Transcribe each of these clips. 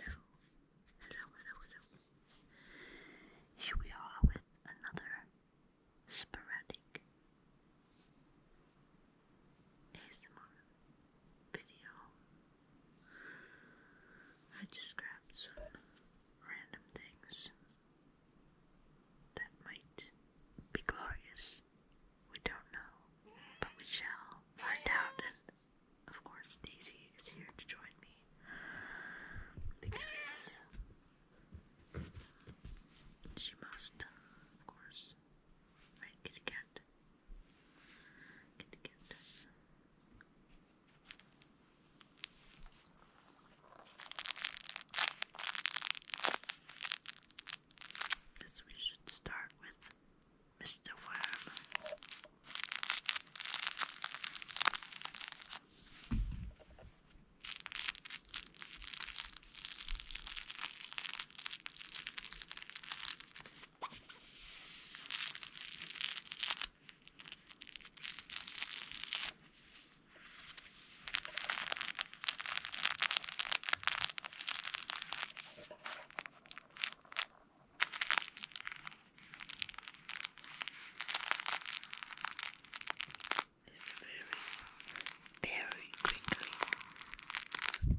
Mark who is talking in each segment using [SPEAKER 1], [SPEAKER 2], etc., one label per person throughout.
[SPEAKER 1] Hello, hello, hello, hello. Here we are with another sporadic ASMR video. I just grabbed some random
[SPEAKER 2] things that might be glorious we don't know, but we shall find out. And
[SPEAKER 1] of course, Daisy is here to join me because she must, of course. Right, kitty cat. Kitty cat. Because we should start with Mr. Worm. Just very, very quickly. Very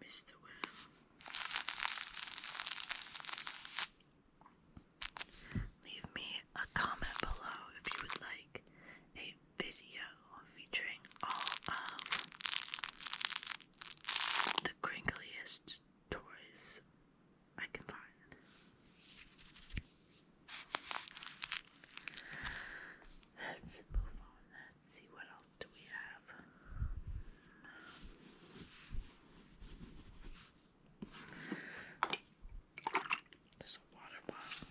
[SPEAKER 1] Mr. Worm Leave me a comment below if you would like a video featuring all of the cringliest toys I can find. Let's move on. Let's see what else do we have. There's a water bottle.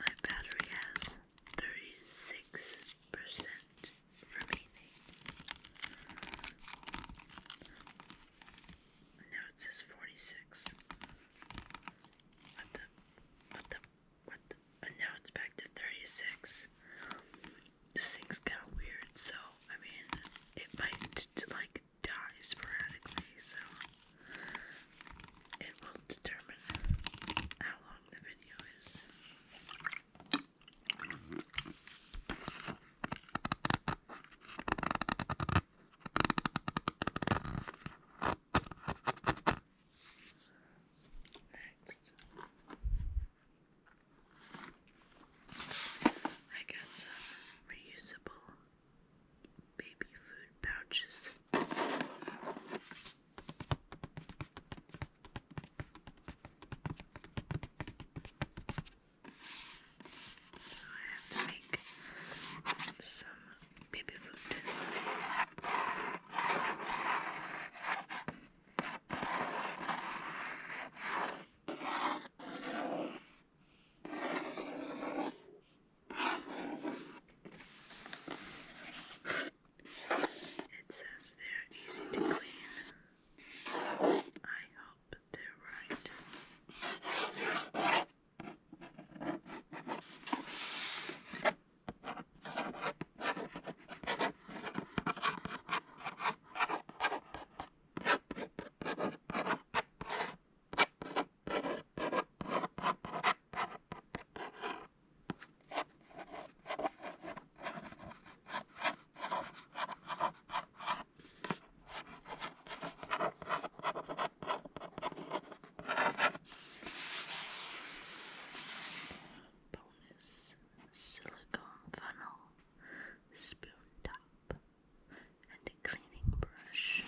[SPEAKER 1] My battery has 36% remaining. Now it says 46. What the? What the? What And now it's back to 36. This thing's kind of weird, so I mean, it might like die sporadically, so it will determine how long the video is. Next. I got some reusable baby food pouches. So I have to make some baby food. It says they're easy to clean. I hope they're right. Bonus silicone funnel spoon top and a cleaning brush.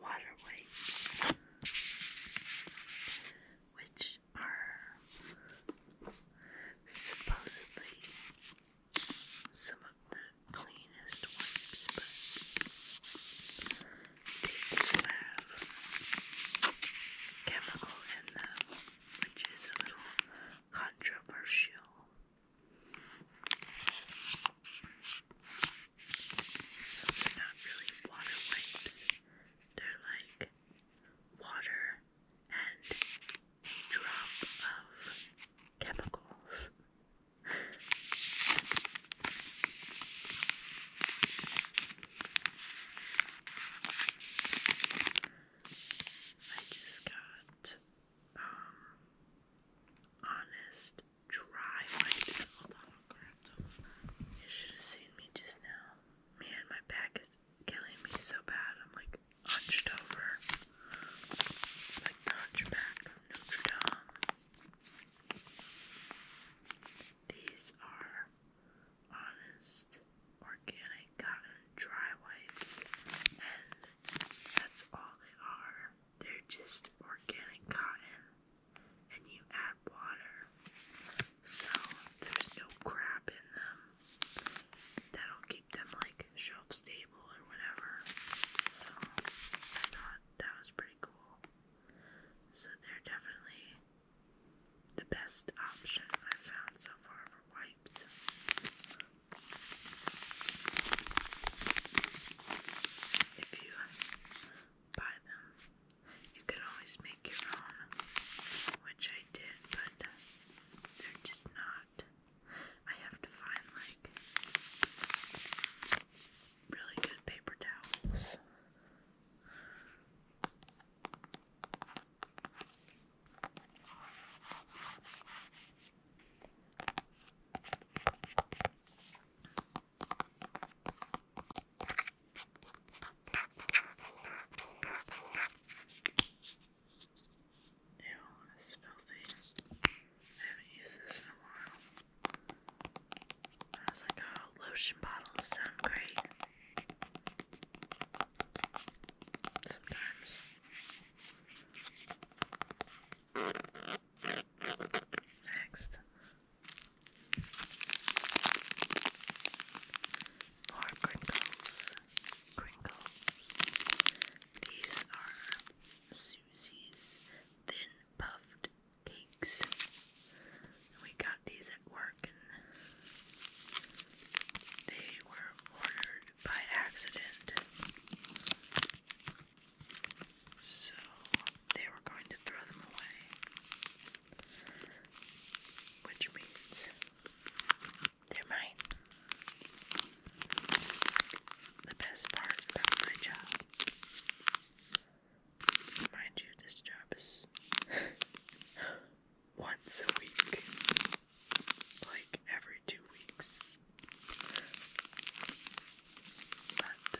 [SPEAKER 1] Water which are supposedly some of the cleanest wipes, but they have chemical in them, which is a little controversial. So they're not really water wipes. They're like water and drop of chemicals. I just got um honest dry wipes. You should have seen me just now. Man, my back is killing me so bad. I'm like hunched over, like the Hunchback of Notre Dame. These are honest, organic cotton dry wipes, and that's all they are. They're just organic cotton, and you add water. So there's no crap in them that'll keep them like shelf stable or whatever. So I thought that was pretty cool. So they're definitely the best option I've found so far for wipes. If you buy them, you can always make your own, which I did, but they're just not lot. I have to find like really good paper towels. Ew, it's filthy. I haven't used this in a while. I was like, lotion bottles sound great.
[SPEAKER 2] Sometimes. Next. More crinkles. Crinkles. These are Susie's Thin Puffed Cakes. we got these at work they were ordered by accident. So they were going to throw
[SPEAKER 1] them away. Which means they're mine. The best part about my job. Mind you, this job is once a week. Like every two weeks. But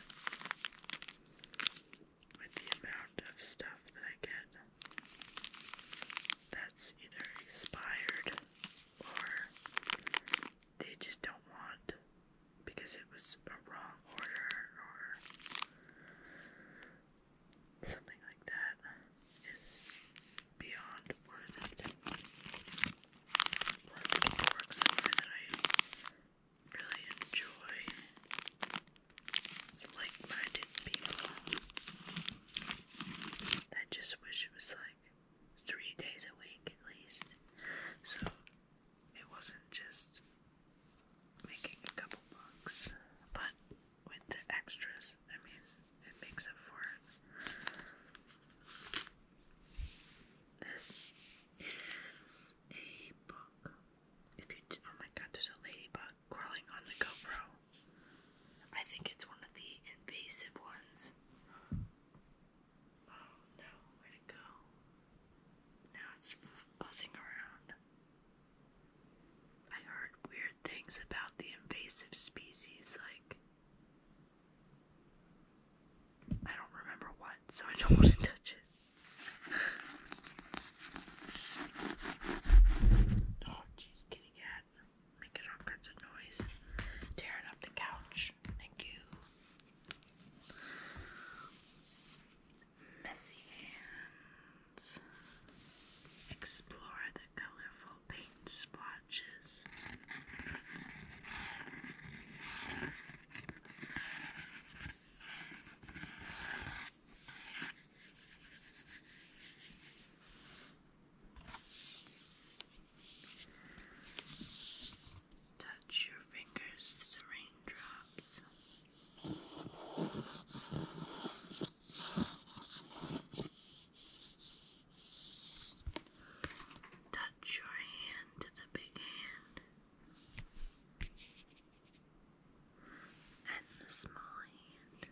[SPEAKER 1] with the amount of stuff that I get that's either expired or they just don't want because it was a wrong order or something like that is beyond worth it. Plus, I can work I really enjoy. like-minded people. I just wish it was like three days a week at least. So it wasn't just making a couple bucks. But with the extras, I mean, it makes up for it. This is a book. If you, oh my god, there's a ladybug crawling on the GoPro. I think it's one of the invasive ones. Oh no, where'd it go? Now it's buzzing around. I heard weird things about the invasive species, like. I don't remember what, so I don't want to touch it. Oh, jeez, kitty cat making all kinds of noise, tearing up the couch. Thank you. Messy hands. Explore the colorful paint splotches. Touch your fingers to the raindrops. Touch your hand to the big hand and the small hand.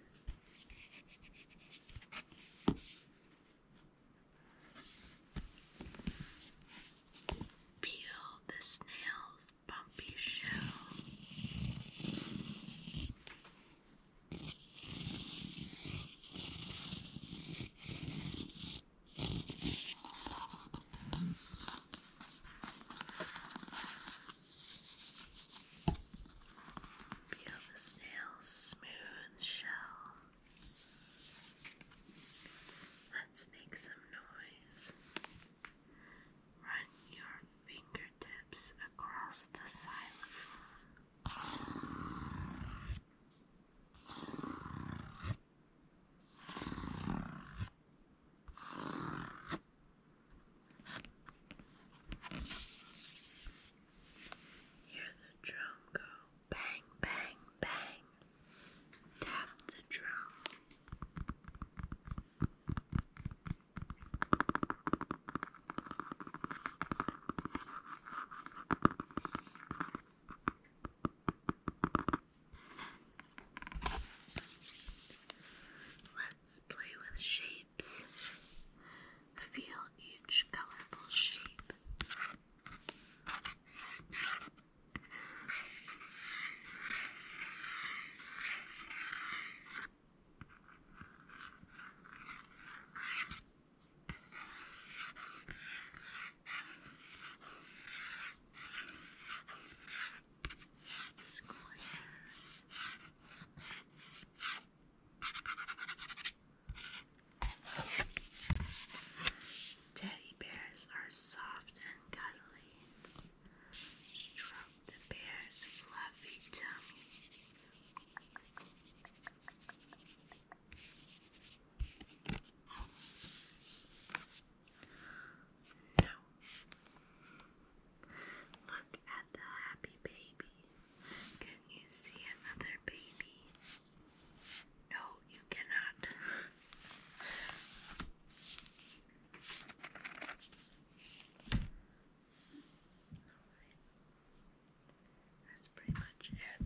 [SPEAKER 1] Peel
[SPEAKER 2] the snail's bumpy shell.
[SPEAKER 1] Feel the snail's smooth shell. Let's make some noise. Run your fingertips across the xylophone. Hear the drum go bang, bang, bang. Tap the drum. Let's play with shapes shapes. Feel each colorful shape.
[SPEAKER 2] Square.
[SPEAKER 1] Teddy bears are soft and cuddly. Stroke the bear's fluffy tummy. No. Look at the happy baby. Can you see another baby? No, you cannot. Right. That's pretty much it.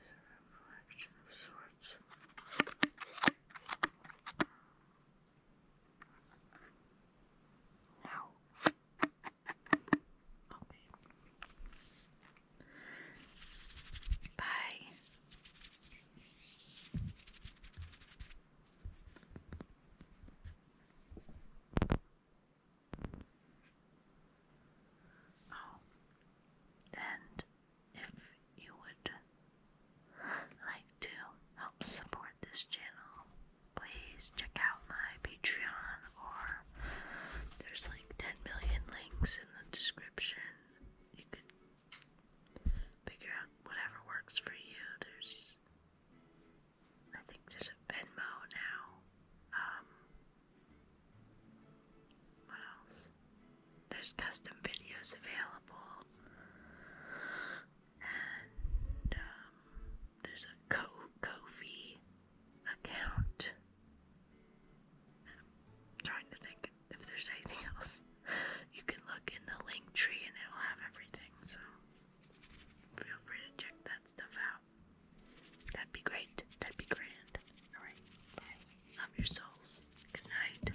[SPEAKER 1] as a reflection of sorts. Now, okay. Bye. Oh, and if you would like to help support this channel, please check out my Patreon or there's like 10 million links in the description. You could figure out whatever works for you. There's I think there's a Venmo now. Um, what else? There's custom videos available, and um, there's a Kofi account. I'm trying to think if there's anything else. You can look in the link tree, and it'll have everything. So feel free to check that stuff out. That'd be great. That'd be grand. All right. Bye. Love your souls. Good night.